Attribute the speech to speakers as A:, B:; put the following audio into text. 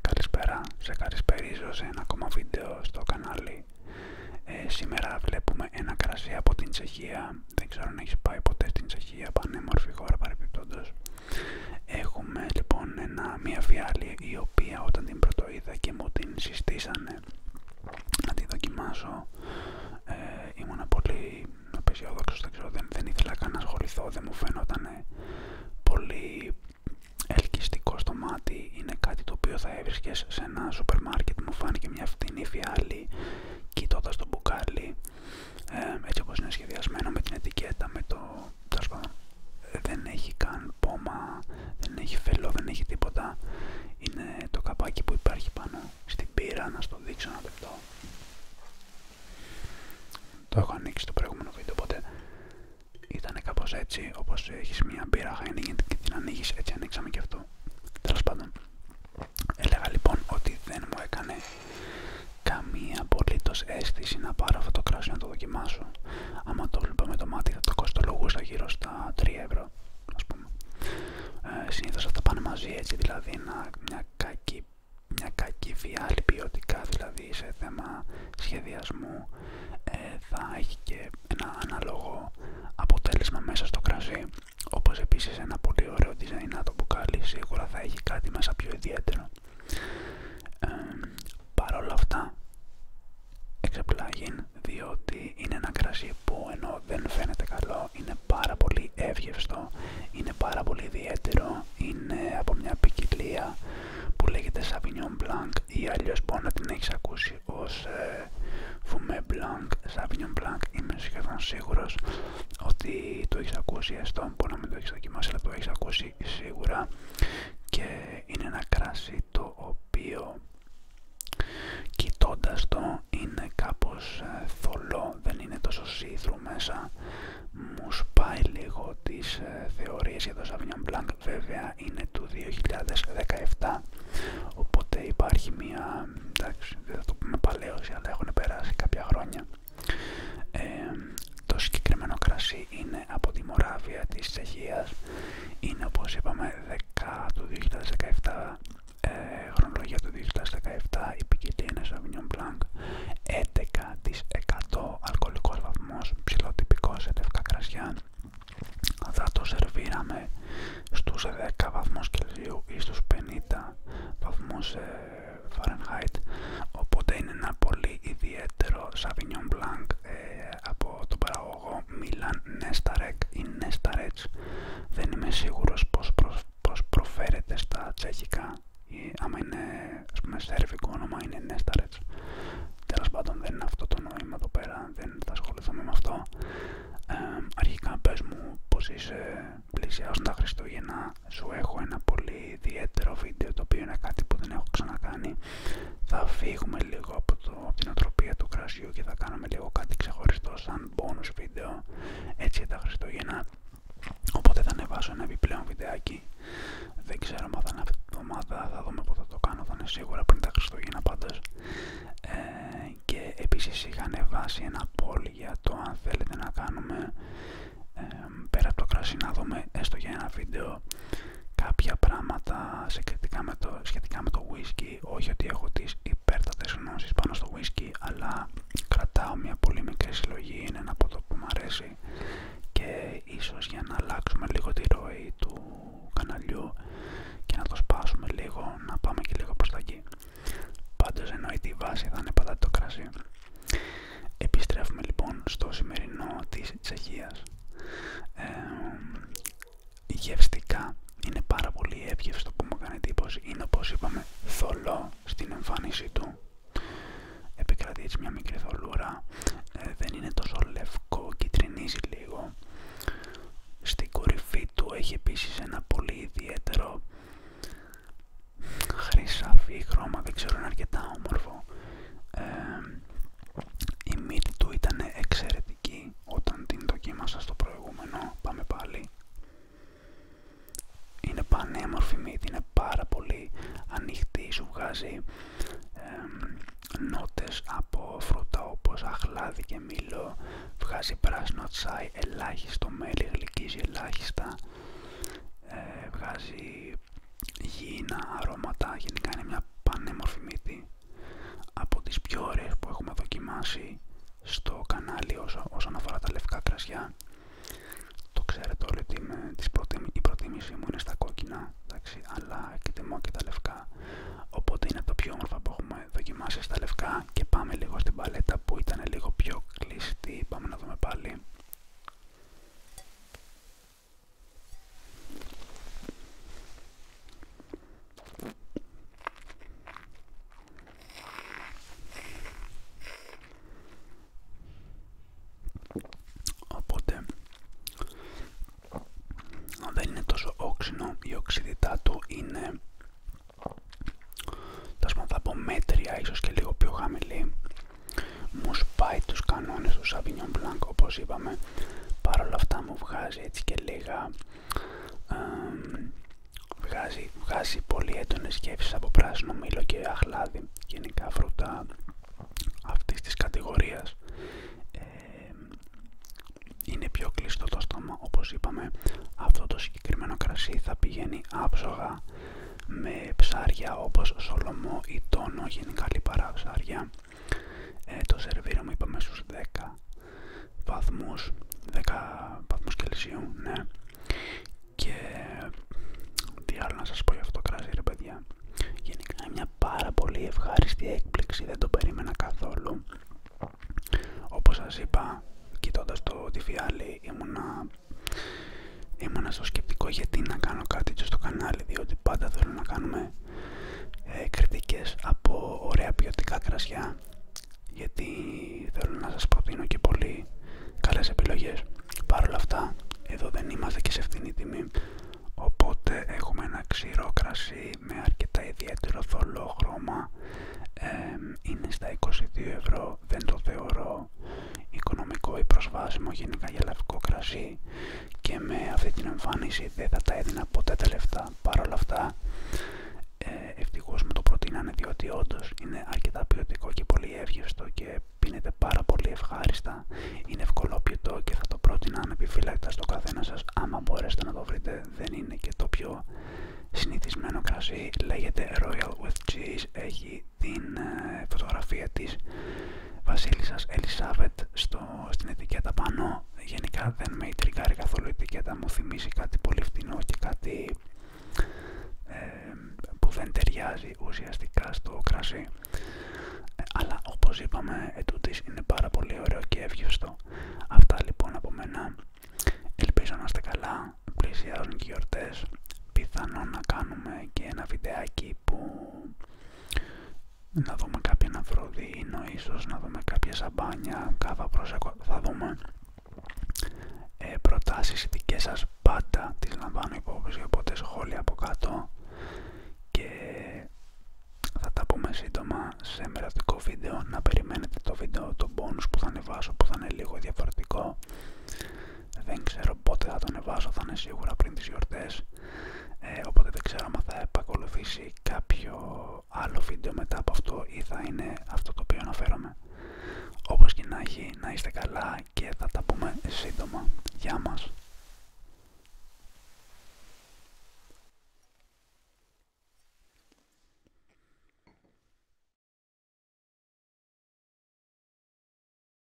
A: Καλησπέρα, σε καλησπερίζω σε ένα ακόμα βίντεο στο κανάλι. Ε, σήμερα βλέπουμε ένα κρασί από την Τσεχία. Δεν ξέρω αν έχει πάει ποτέ στην Τσεχία, πανέμορφη χώρα παρεπιπτόντως. Έχουμε λοιπόν μια φιάλη η οποία όταν την πρωτοείδα και μου την συστήσανε ναι. να τη δοκιμάσω. Ε, πολύ απεσιόδοξος, δεν ξέρω, δεν, δεν ήθελα καν να ασχοληθώ, δεν μου φαίνονταν πολύ ελκυστικό στο μάτι. Είναι κάτι το οποίο θα έβρισκες σε ένα σούπερ μάρκετ, μου φάνηκε μια φτηνή φιάλη, κοιτώντα το μπουκάλι, ε, έτσι όπως είναι σχεδιασμένο με την ετικέτα, με το... Δεν έχει καν πόμα, δεν έχει φελό, δεν έχει τίποτα. Είναι το καπάκι που υπάρχει πάνω στην πύρα να στο δείξω ένα λεπτό. Το έχω ανοίξει το προηγούμενο βίντεο, οπότε ήταν κάπω έτσι, όπως έχεις μια πύρα Χάινιγκεν και την ανοίγεις, έτσι ανοίξαμε και αυτό. Τέλο πάντων, έλεγα λοιπόν ότι δεν μου έκανε καμία απολύτως αίσθηση να πάρω αυτό το κράσι να το δοκιμάσω. Άμα το βλέπω με το μάτι θα το κοστολογούσα γύρω στα 3 ευρώ. Συνήθω πούμε. Ε, συνήθως αυτά πάνε μαζί έτσι, δηλαδή να, μια, κακή, μια ποιοτικά, δηλαδή σε θέμα σχεδιασμού ε, θα έχει και ένα ανάλογο αποτέλεσμα μέσα στο κρασί, όπως επίσης ένα πολύ ωραίο design το μπουκάλι σίγουρα θα έχει κάτι μέσα πιο ιδιαίτερο. Ε, Παρ' όλα αυτά, εξεπλάγει διότι είναι ένα κρασί που ενώ δεν φαίνεται καλό είναι πάρα πολύ εύγευστο, είναι πάρα πολύ ιδιαίτερο, είναι από μια ποικιλία που λέγεται Sauvignon Blanc ή αλλιώς μπορεί να την έχεις ακούσει ως φούμε Fumé Blanc, Sauvignon Blanc είμαι σχεδόν σίγουρος ότι το έχεις ακούσει έστω, μπορεί να μην το έχεις δοκιμάσει αλλά το έχεις ακούσει σίγουρα και είναι ένα κρασί το οποίο κοιτώντας το είναι κάπως ε, θολό, δεν είναι τόσο σίδρου μέσα. Μου σπάει λίγο τις ε, θεωρίες για το Sauvignon Blanc, βέβαια είναι του 2017, οπότε υπάρχει μία, εντάξει δεν το πούμε παλαίωση, αλλά έχουν περάσει κάποια χρόνια. Ε, το συγκεκριμένο κρασί είναι από τη Μοράβια της Τσεχίας, είναι όπως είπαμε το 2017, ε, χρονολογία του 2017, η ποικιλία είναι Sauvignon Blanc, 11% αλκοολικός βαθμός, τυπικό σε λευκά κρασιά. Θα το σερβίραμε στους 10 βαθμού Κελσίου ή στους 50 βαθμού ε, Φαρενχάιτ, οπότε είναι ένα πολύ ιδιαίτερο Sauvignon Blanc ε, από τον παραγωγό εγώ Μίλαν Νέσταρεκ ή Νέσταρετς. Δεν είμαι σίγουρος πώς, προφέρεται στα τσεχικά. Ή, άμα είναι ας πούμε σερβικό όνομα είναι Νέσταρετς. Τέλος πάντων δεν είναι αυτό το νόημα εδώ πέρα, δεν θα ασχοληθούμε με αυτό. αρχικά πες μου πως είσαι πλησιάζοντα τα Χριστούγεννα, σου έχω ένα πολύ ιδιαίτερο βίντεο το οποίο είναι κάτι που δεν έχω ξανακάνει. Θα φύγουμε λίγο από από την οτροπία του κρασιού και θα κάνουμε λίγο κάτι ξεχωριστό σαν bonus βίντεο έτσι για τα Χριστούγεννα οπότε θα ανεβάσω ένα επιπλέον βιντεάκι δεν ξέρω αν θα είναι αυτή τη βδομάδα θα δούμε πότε θα το κάνω θα είναι σίγουρα πριν τα Χριστούγεννα πάντως ε, και επίσης είχα ανεβάσει ένα poll για το αν θέλετε να κάνουμε ε, πέρα από το κρασί να δούμε έστω για ένα βίντεο κάποια πράγματα σχετικά με το, σχετικά με το whisky. Όχι ότι έχω τις υπέρτατες γνώσεις πάνω στο whisky, αλλά κρατάω μια πολύ μικρή συλλογή, είναι ένα από που μου αρέσει και ίσως για να αλλάξουμε λίγο τη ροή του καναλιού και να το σπάσουμε λίγο, να πάμε και λίγο προς τα εκεί. Πάντως εννοείται η βάση θα είναι πάντα το κρασί. Επιστρέφουμε λοιπόν στο σημερινό της Τσεχίας. Ε, γευστικά, είναι πάρα πολύ εύγευστο που μου κάνει εντύπωση, είναι όπως είπαμε θολό στην εμφάνιση του, επικρατεί έτσι μια μικρή θολούρα, ε, δεν είναι τόσο λευκό, κυτρινίζει λίγο, στην κορυφή του έχει επίσης ένα πολύ ιδιαίτερο χρυσάφι χρώμα, δεν ξέρω είναι αρκετά όμορφο, ε, η μύτη του ήταν εξαιρετική όταν την δοκίμασα στο προηγούμενο. Πάμε πάλι. Είναι πανέμορφη μύτη, είναι πάρα πολύ ανοιχτή, σου βγάζει νότες από φρούτα όπως αχλάδι και μήλο, βγάζει πράσινο τσάι, ελάχιστο μέλι, γλυκίζει ελάχιστα, ε, βγάζει γίνα αρώματα, γενικά είναι μια πανέμορφη μύτη από τις πιο ωραίες που έχουμε δοκιμάσει στο κανάλι όσο, όσον αφορά τα λευκά κρασιά το ξέρετε όλοι ότι τις η προτίμησή μου είναι στα κόκκινα εντάξει, αλλά εκτιμώ και τα λευκά οπότε είναι το πιο όμορφο που έχουμε δοκιμάσει στα λευκά και πάμε λίγο στην παλέτα που ήταν λίγο πιο κλειστή πάμε να δούμε πάλι Οπότε δεν είναι τόσο όξινο, η οξύτητά του είναι θα πω μέτρια, ίσως και λίγο πιο χαμηλή. Μου σπάει τους κανόνες του Sauvignon Blanc όπως είπαμε Παρ' όλα αυτά μου βγάζει έτσι και λίγα... βγάζει, πολύ έντονες σκέψεις από πράσινο μήλο και αχλάδι. Γενικά φρούτα αυτής της κατηγορίας. Ε, είναι πιο κλειστό το στόμα όπως είπαμε. Αυτό το συγκεκριμένο κρασί θα πηγαίνει άψογα με ψάρια όπως σολομό ή τόνο, γενικά λιπαρά ψάρια ε, το το μου είπαμε στους 10 βαθμούς, 10 βαθμούς Κελσίου, ναι. Και τι άλλο να σας πω για αυτό το κρασί ρε παιδιά. Γενικά είναι μια πάρα πολύ ευχάριστη έκπληξη, δεν το περίμενα καθόλου. Όπως σας είπα, κοιτώντας το τη ήμουνα, στο σκεπτικό γιατί να κάνω κάτι στο κανάλι, διότι πάντα θέλω να κάνουμε ε, κριτικές από ωραία ποιοτικά κρασιά γιατί θέλω να σας προτείνω και πολύ καλές επιλογές Παρ' όλα αυτά εδώ δεν είμαστε και σε φθηνή τιμή οπότε έχουμε ένα ξηρό κρασί με αρκετά ιδιαίτερο θολό χρώμα είναι στα 22 ευρώ δεν το θεωρώ οικονομικό ή προσβάσιμο γενικά για λευκό κρασί και με αυτή την εμφάνιση δεν θα τα έδινα ποτέ τα λεφτά. Παρ' όλα αυτά, ε, ευτυχώ μου το προτείνανε διότι όντω είναι αρκετά ποιοτικό και πολύ εύγευστο και πίνεται πάρα πολύ ευχάριστα. Είναι ευκολόπιτο και θα το πρότεινα επιφυλακτά στο καθένα σας Άμα μπορέσετε να το βρείτε, δεν είναι και το πιο συνηθισμένο κρασί. Λέγεται Royal with Cheese. Έχει την ε, φωτογραφία τη βασίλισσας Ελισάβετ στο, στην ετικέτα πάνω. Γενικά δεν με ιτρικάρει καθόλου η ετικέτα, μου θυμίζει κάτι πολύ φτηνό και κάτι ε, που δεν ταιριάζει ουσιαστικά στο κρασί. Ε, αλλά όπως είπαμε, ετούτης είναι πάρα πολύ ωραίο και εύγευστο. Αυτά λοιπόν από μένα. Ελπίζω να είστε καλά, πλησιάζουν και οι γιορτές. Πιθανόν να κάνουμε και ένα βιντεάκι που να δούμε κάποιον Αφροδίνο ίσως, να δούμε κάποια σαμπάνια, κάβα προσεκό, θα δούμε. Ε, προτάσεις δικές σας πάντα τις λαμβάνω υπόψη, οπότε σχόλια από κάτω και θα τα πούμε σύντομα σε μερατικό βίντεο, να περιμένετε το βίντεο, το bonus που θα ανεβάσω που θα είναι λίγο διαφορετικό δεν ξέρω πότε θα τον ανεβάσω, θα είναι σίγουρα πριν τις γιορτές ε, οπότε δεν ξέρω αν θα επακολουθήσει κάποιο άλλο βίντεο μετά από αυτό ή θα είναι αυτό το οποίο αναφέρομαι όπως και να έχει να είστε καλά και θα τα πούμε σύντομα Γεια μας